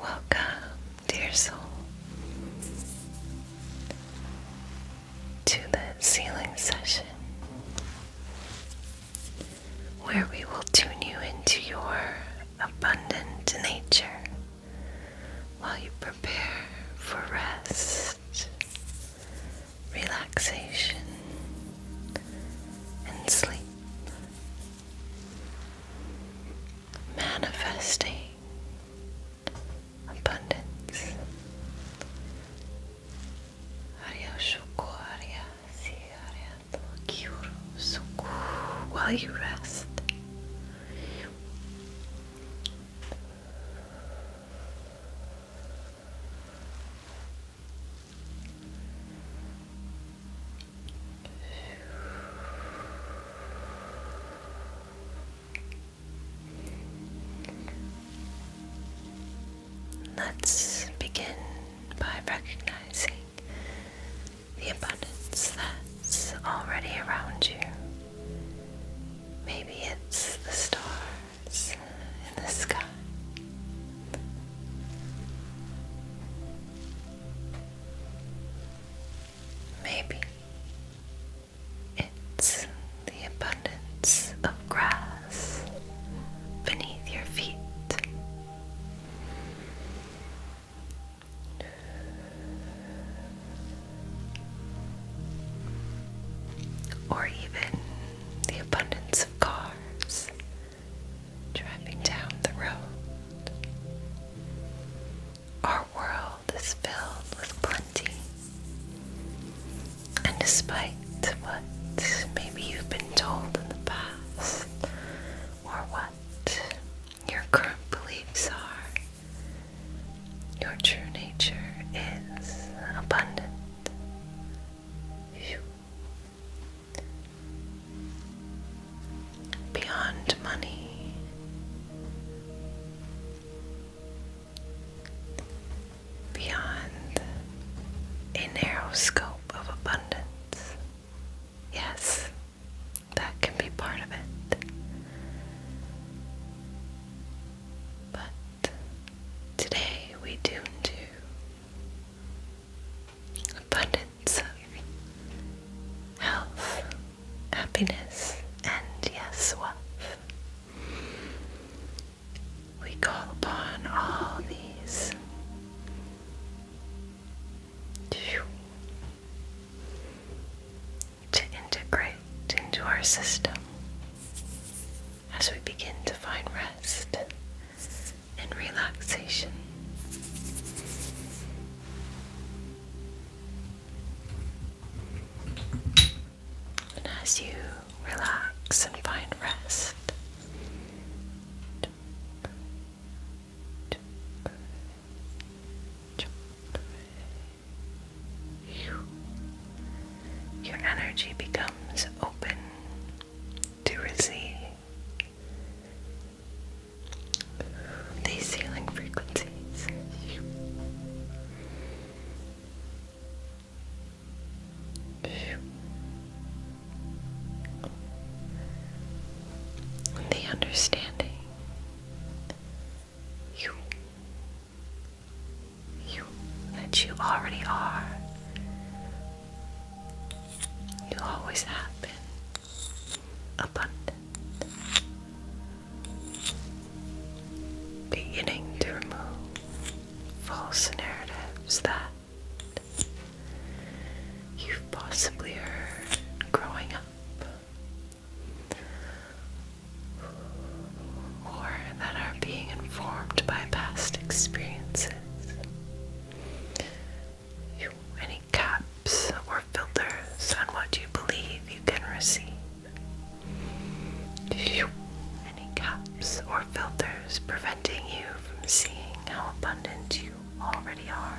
Welcome, dear soul, to the sealing session where we will tune you into your abundant nature while you prepare for rest relaxation, and sleep. Manifesting abundance. While you rest. Let's begin by recognizing the abundance that's already around you. Maybe it's the star in the sky. Maybe it's the abundance of grass beneath your feet. Or even the abundance cars driving down the road. Our world is filled with plenty. And despite what maybe you've been told in the past, or what your current beliefs are, your true nature is abundant. Beyond money, beyond a narrow scope of abundance. Yes, that can be part of it. But today we tune to abundance health, happiness, and yes, wealth. We call upon all these. To integrate into our system, as we begin to find rest and relaxation. And as you relax and find rest, your energy becomes open to receive the healing frequencies. The understanding you that you already are. You always have been abundant. Beginning to remove false narratives that you've possibly heard growing up, or that are being informed by past experiences. You, any caps or filters on what you believe you can receive? Do You, any caps or filters preventing you from seeing how abundant you already are?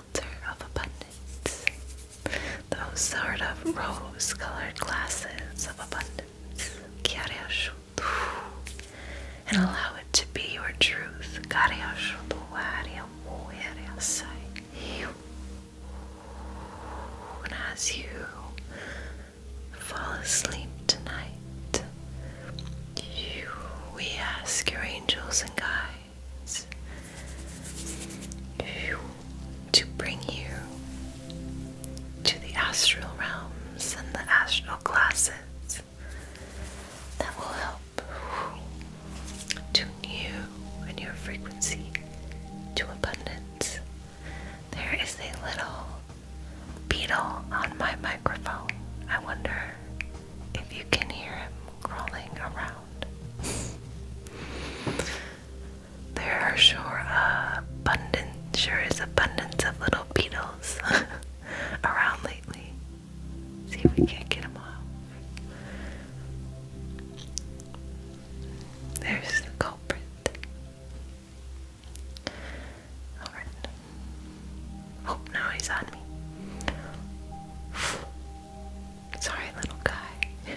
of abundance, those sort of rose colored glasses of abundance. And allow it to be your truth. And as you fall asleep tonight, we ask your angels and guides to bring you to the astral realms and the astral classes that will help tune you and your frequency to abundance. There is a little beetle on my microphone. I wonder if you can hear him crawling around there are sure abundant, sure is abundance of little beetles around lately. See if we can't get them off. There's the culprit. Alright. Oh, now he's on me. Sorry, little guy.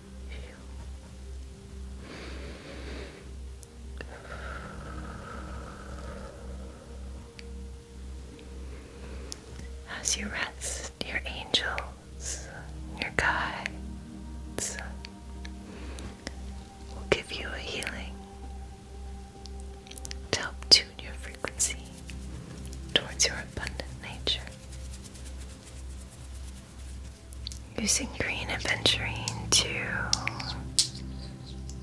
as you rest, your angels, your guides will give you a healing to help tune your frequency towards your abundant nature. Using green and venturing to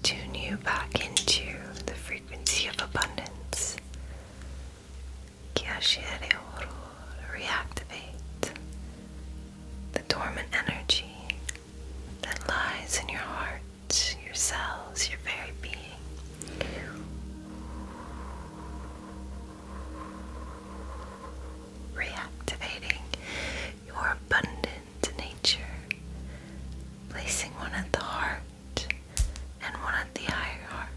tune you back into the frequency of abundance. Kyashire Oro, reactivate the dormant energy that lies in your heart, your cells, your very being reactivating your abundant nature, placing one at the heart and one at the higher heart.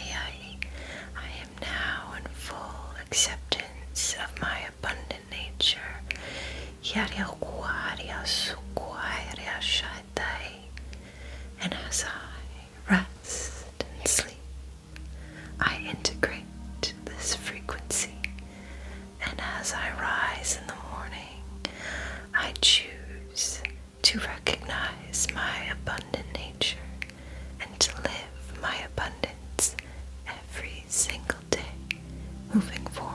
I am now in full acceptance of my abundant nature. Oh, and as I rest and sleep, I integrate this frequency, and as I rise in the morning, I choose to recognize my abundant nature and to live my abundance every single day, moving forward.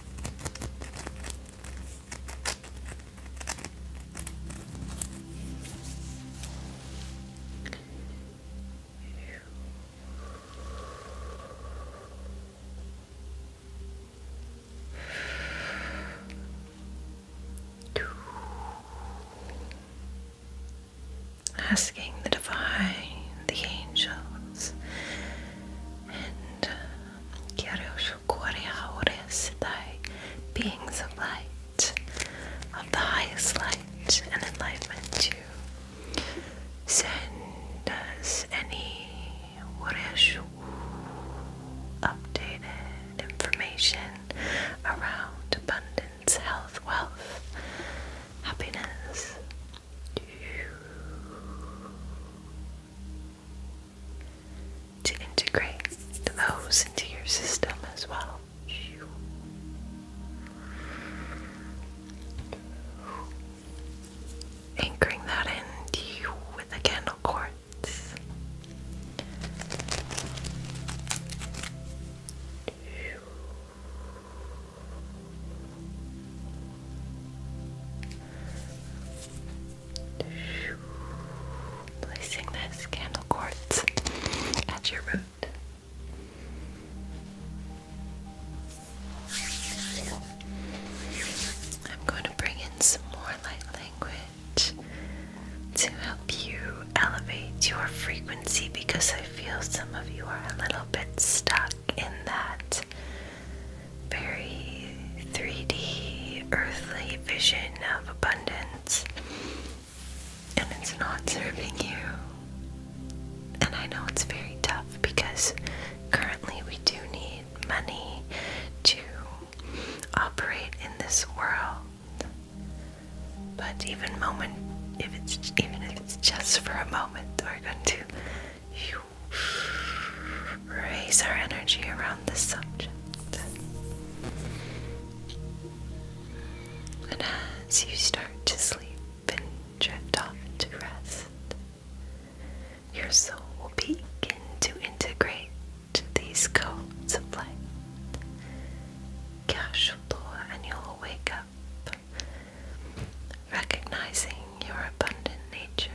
Asking the divine, the angels, and uh, Kyryushu Korea Sidai, beings of light, of the highest light and enlightenment To send us any Koreashu updated information around abundance, health, wealth, happiness to integrate those into your system as well. Anchoring that in you with the candle quartz. Placing this candle quartz at your root. I'm going to bring in some more light language to help you elevate your frequency because I feel some of you are a little bit stuck in that very 3D earthly vision of abundance, and it's not serving you. And I know it's very tough because currently we do need money to operate in this world. But even moment, if it's even if it's just for a moment, we're going to you raise our energy around this subject. And as you start to sleep and drift off into rest, your soul will begin to integrate these codes of light. And you'll wake up recognizing your abundant nature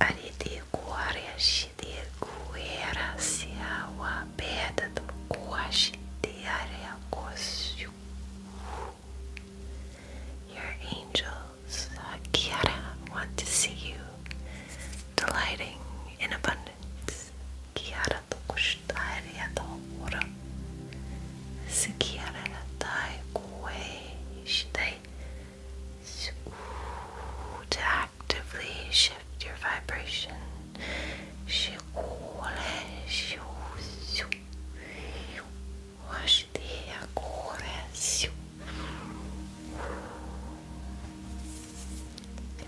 Ariticuariashide Your angels, Kiara, want to see you delighting in abundance. Kiara tokush estaria ضعورا سكيرة They to actively shift your vibration.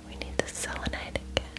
We need the selenite again.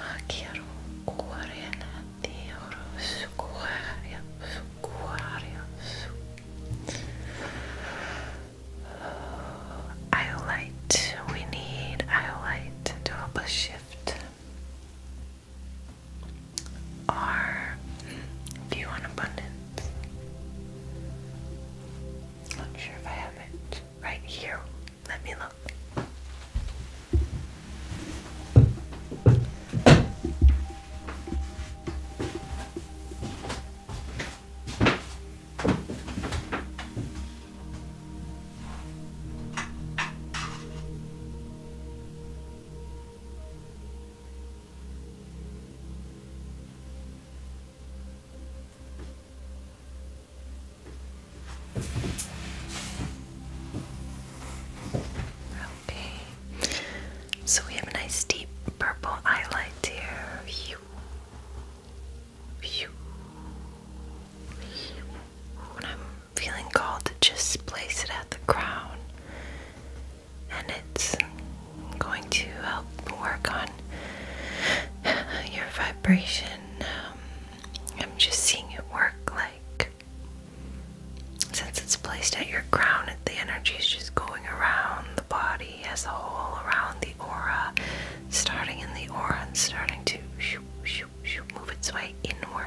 Hakeru kuoriana dioro sukuaria sukuaria su Iolite, we need Iolite to help us shift our view on abundance. Not sure if I have it right here. Let me look. Okay, so we have a nice deep purple highlight here. When I'm feeling called to just place it at the crown, and it's going to help work on your um, I'm just seeing it work like since it's placed at your crown, the energy is just going around the body as a whole, around the aura, starting in the aura and starting to move its way inward.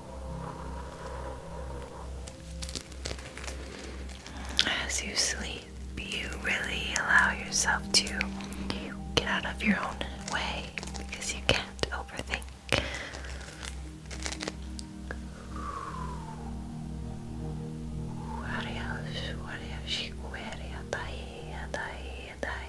As you sleep, you really allow yourself to get out of your own way because you can't overthink.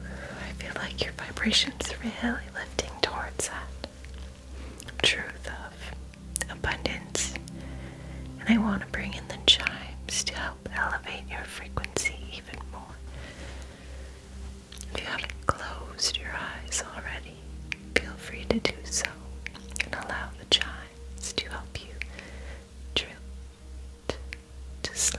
I feel like your vibration's really lifting towards that truth of abundance. And I want to bring in the chimes to help elevate your frequency even more. If you haven't closed your eyes already, feel free to do so and allow the chimes to help you drift to sleep.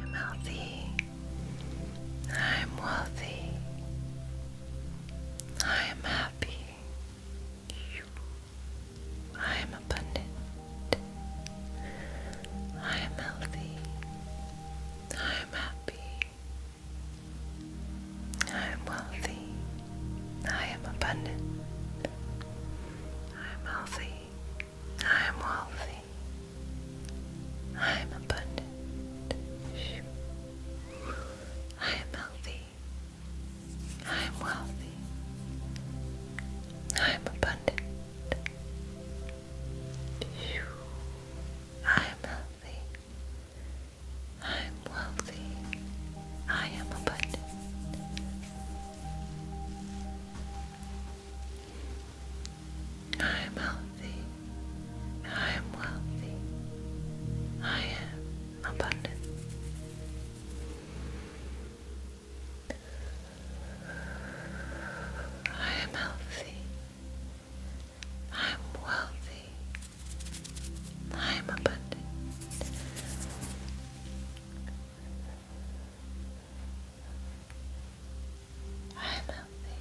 I'm healthy. I'm wealthy. I am happy. I am abundant. I am healthy. I am happy. I am wealthy. I am abundant. I am healthy. I am wealthy. I am abundant. I am healthy. I am wealthy. I am abundant. I am healthy. I'm wealthy. I am abundant. I am healthy. I am wealthy. I am abundant. I am healthy. I am wealthy. I am abundant. I am healthy.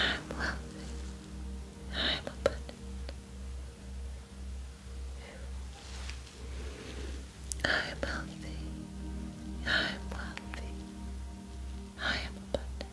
I am wealthy. I am abundant. I am healthy. I am wealthy. I am abundant.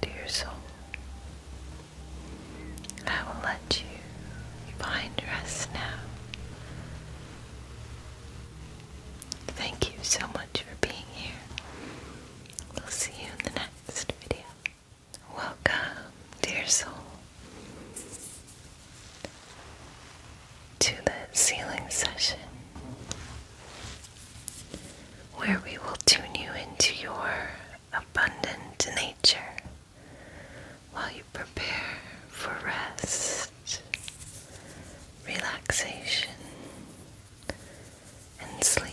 Dear soul, I will let you find rest now. Thank you so much for being here. We'll see you in the next video. Welcome, dear soul, to the sealing session where we will tune you into your abundant nature while you prepare for rest, relaxation, and sleep.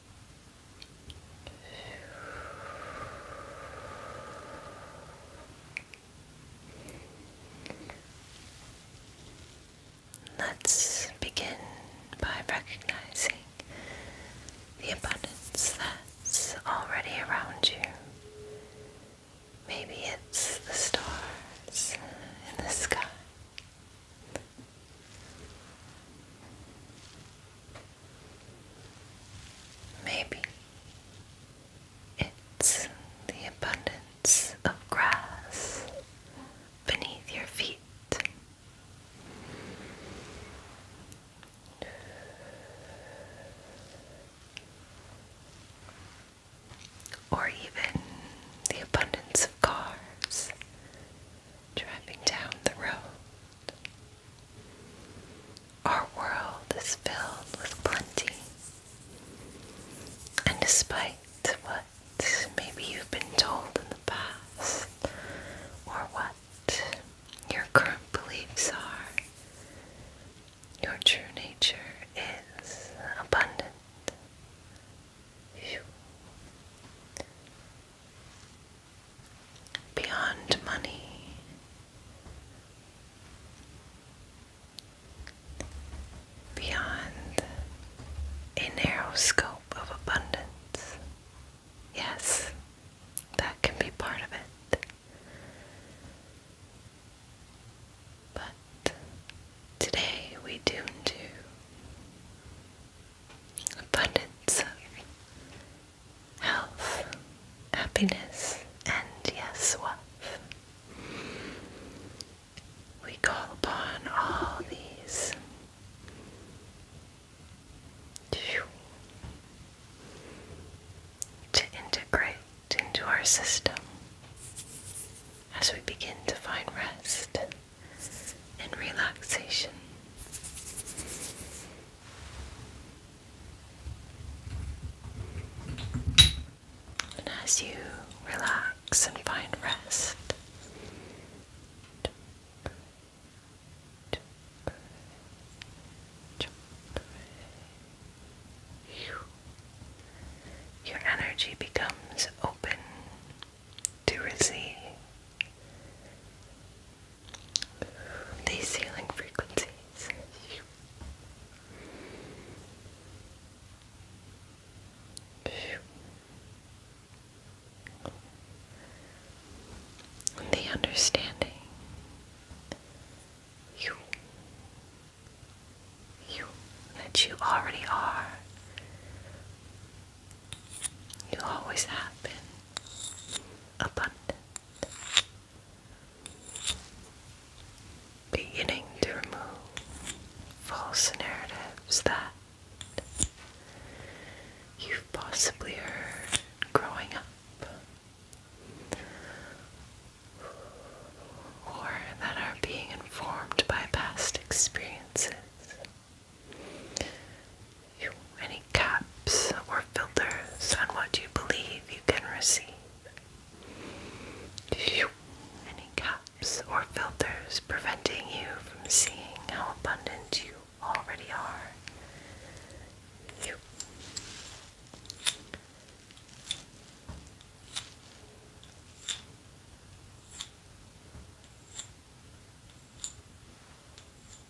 Let's begin by recognizing the abundance that's already around you. Maybe it's the stars in the sky. Maybe it's the abundance of grass beneath your feet. Or even the abundance of cars driving down the road. Our world is filled with plenty, and despite what maybe you've been told in the past or what your current beliefs are, your true nature is abundant. You beyond money. Beyond a narrow scope of abundance. Yes, that can be part of it. But today we tune abundance health, happiness, and yes, wealth. We call upon all these. To integrate into our system as we begin to find rest and relaxation. And as you relax and find rest, your energy becomes open to receive these healing frequencies. And the understanding. That you already are you always have been abundant. Beginning to remove false narratives that you've possibly heard growing up, or that are being informed by past experiences any caps or filters on what you believe you can receive? any caps or filters preventing you from seeing how abundant you already are?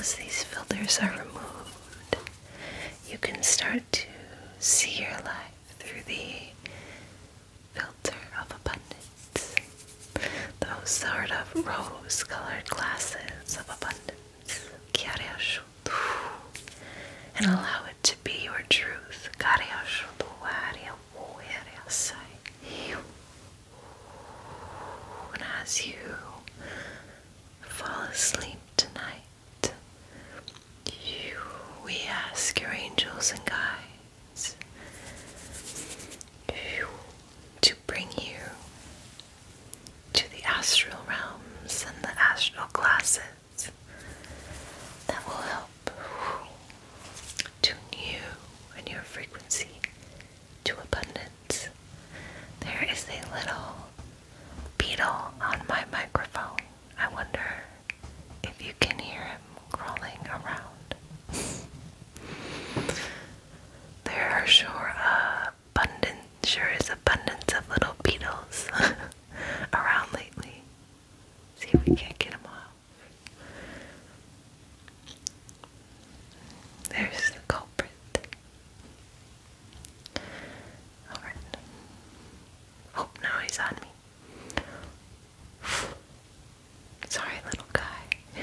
as these filters are removed, you can start to see your life through the filter of abundance. Those sort of rose colored glasses of abundance and allow it to be your truth. And as you fall asleep tonight, we ask your angels and guides to bring you to the astral realms and the astral classes that will help tune you and your frequency to abundance. There is a little beetle on my microphone. I wonder if you can hear him crawling around. There are sure uh, abundant, sure is abundance of little beetles around lately. See if we can't get them all. There's the culprit. Alright. Oh, now he's on me. Sorry, little guy.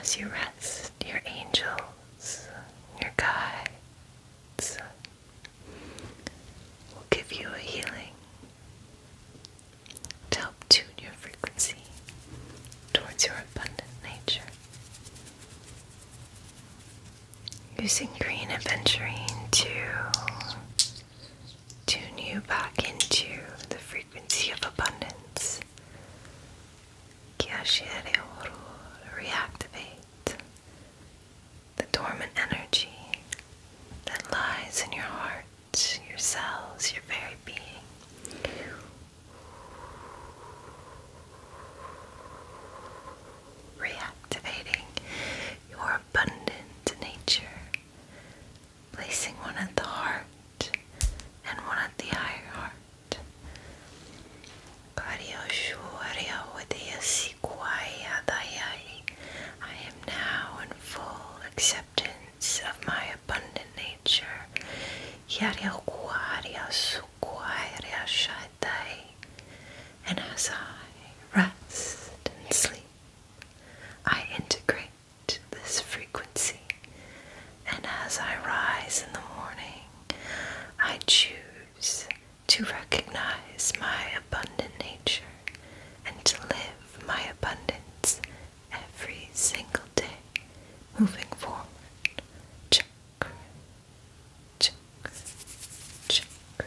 As you rest, your angels, your guides will give you a healing to help tune your frequency towards your abundant nature. Using green adventuring to tune you back into the frequency of abundance. Reactivate the dormant energy that lies in your heart, your cells, your very being. Reactivating your abundant nature placing one at the heart and one at the higher heart. I am now in full acceptance of my abundant nature. And as I rest and sleep, I integrate this frequency, and as I rise in the morning, I choose to recognize my abundant nature and to live my abundance every single day moving forward. Chakra, chakra, chakra.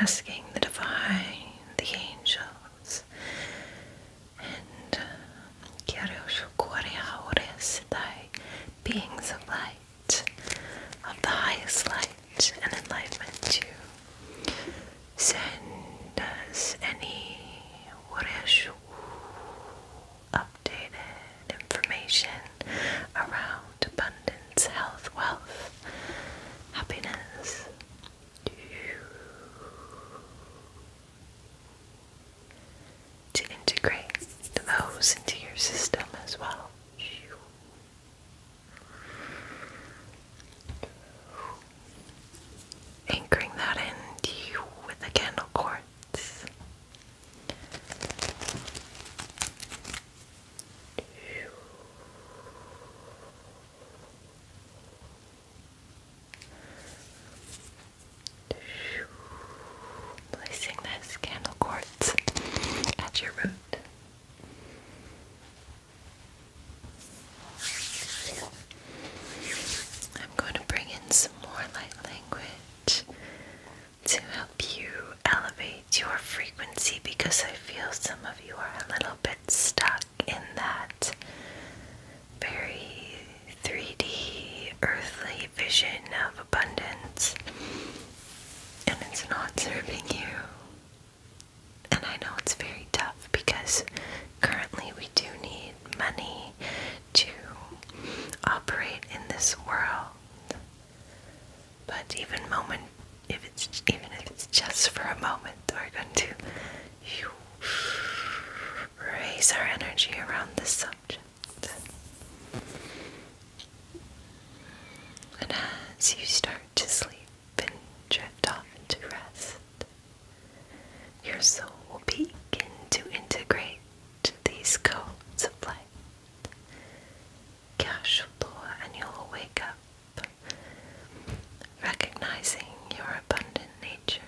Asking the divine, the angels, and Kyosho Kore Haores Thy beings of light, of the highest light and enlightenment to Send us any Wareshu updated information around abundance, health, wealth, happiness to integrate those into your system as well. Anchoring that in you with the candle cords. Placing this candle quartz at your root. I'm going to bring in some more light language to help you elevate your frequency because I feel some of you are a little bit stuck in that very 3D earthly vision of abundance and it's not serving you. And I know it's very tough because currently we do need money to operate in this world. But even moment if it's even if it's just for a moment, we're going to raise our energy around this subject. And as you start to sleep and drift off into rest, your soul will begin to integrate these codes of light. Casual, and you'll wake up recognizing your abundant nature.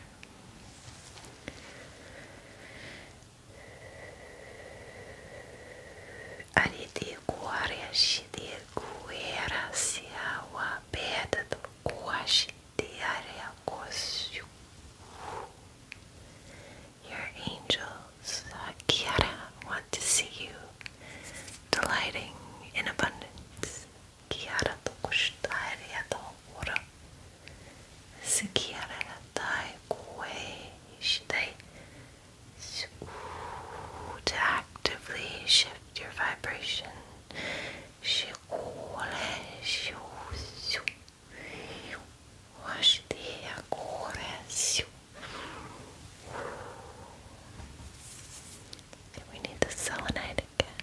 Ariticuariashide cuerasiawa beta do Your angels, uh, Kiara, want to see you, delighting in abundance. Kiara do custaria do ora. Se Kiara Likewise, they to actively shift your vibration. We need the selenite again.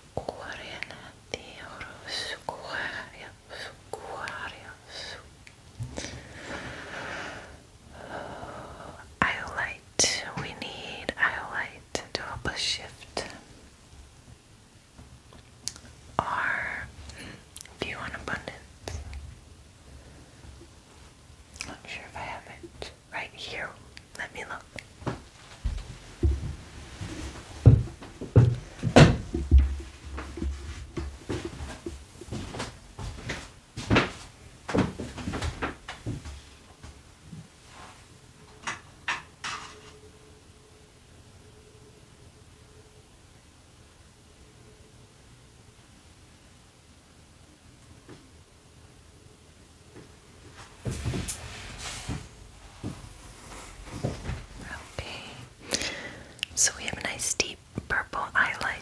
Iolite, we need Iolite to help us shift our view on abundance. Not sure if I have it right here. Let me look. Okay, so we have a nice deep purple highlight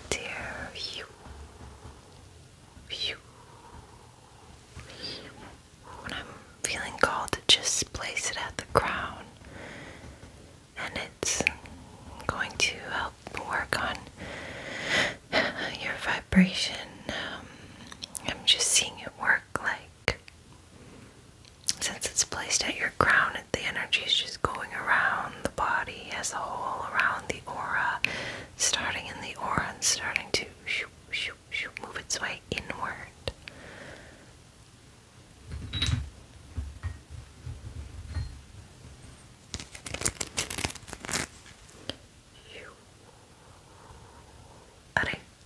here. When I'm feeling called just place it at the crown, and it's going to help work on your vibration. Um, I'm just seeing it work like since it's placed at your crown, the energy is just going around the body as a whole, around the aura, starting in the aura and starting to move its way inward. Alright,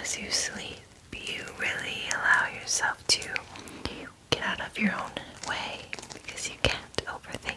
As you sleep, you really allow yourself to get out of your own way because you can't overthink.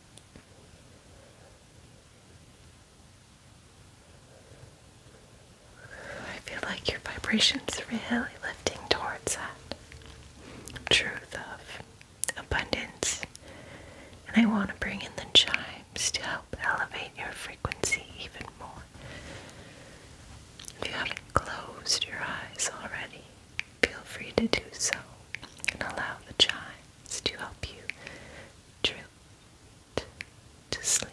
I feel like your vibration's really lifting towards that truth of abundance. And I want to bring in the chimes to help elevate your frequency even more. If you haven't closed your eyes already, feel free to do so and allow the chimes to help you drift to sleep.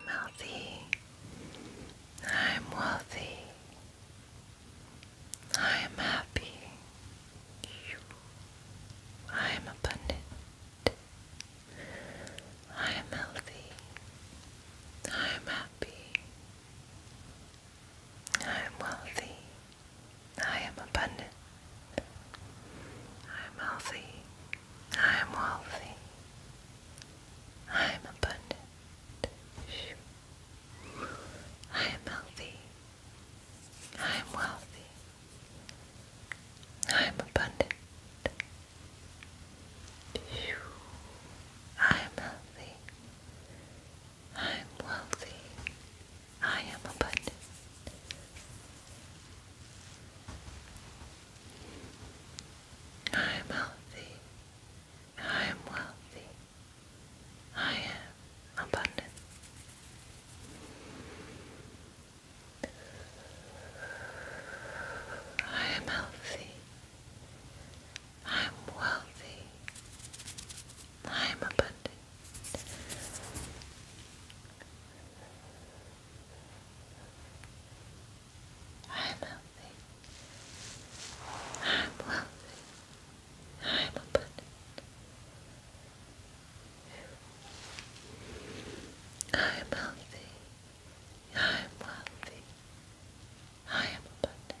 I'm healthy. I'm wealthy. I am happy. I am abundant. I am healthy. I am happy. I am wealthy. I am abundant. I am healthy. I am wealthy. I am abundant. I am healthy. I am wealthy. I am abundant. I am healthy. I am wealthy. I am abundant. I am healthy. I am wealthy. I am abundant. I am healthy. I am wealthy. I am abundant. I'm healthy. I'm wealthy. I'm abundant. I'm healthy. I'm wealthy. I am abundant.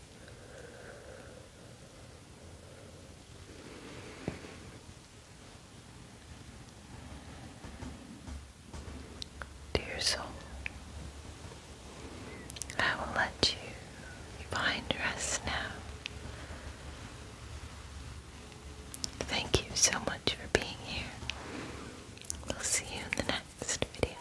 Dear soul, I will let you find rest now. Thank you so much for being here. We'll see you in the next video.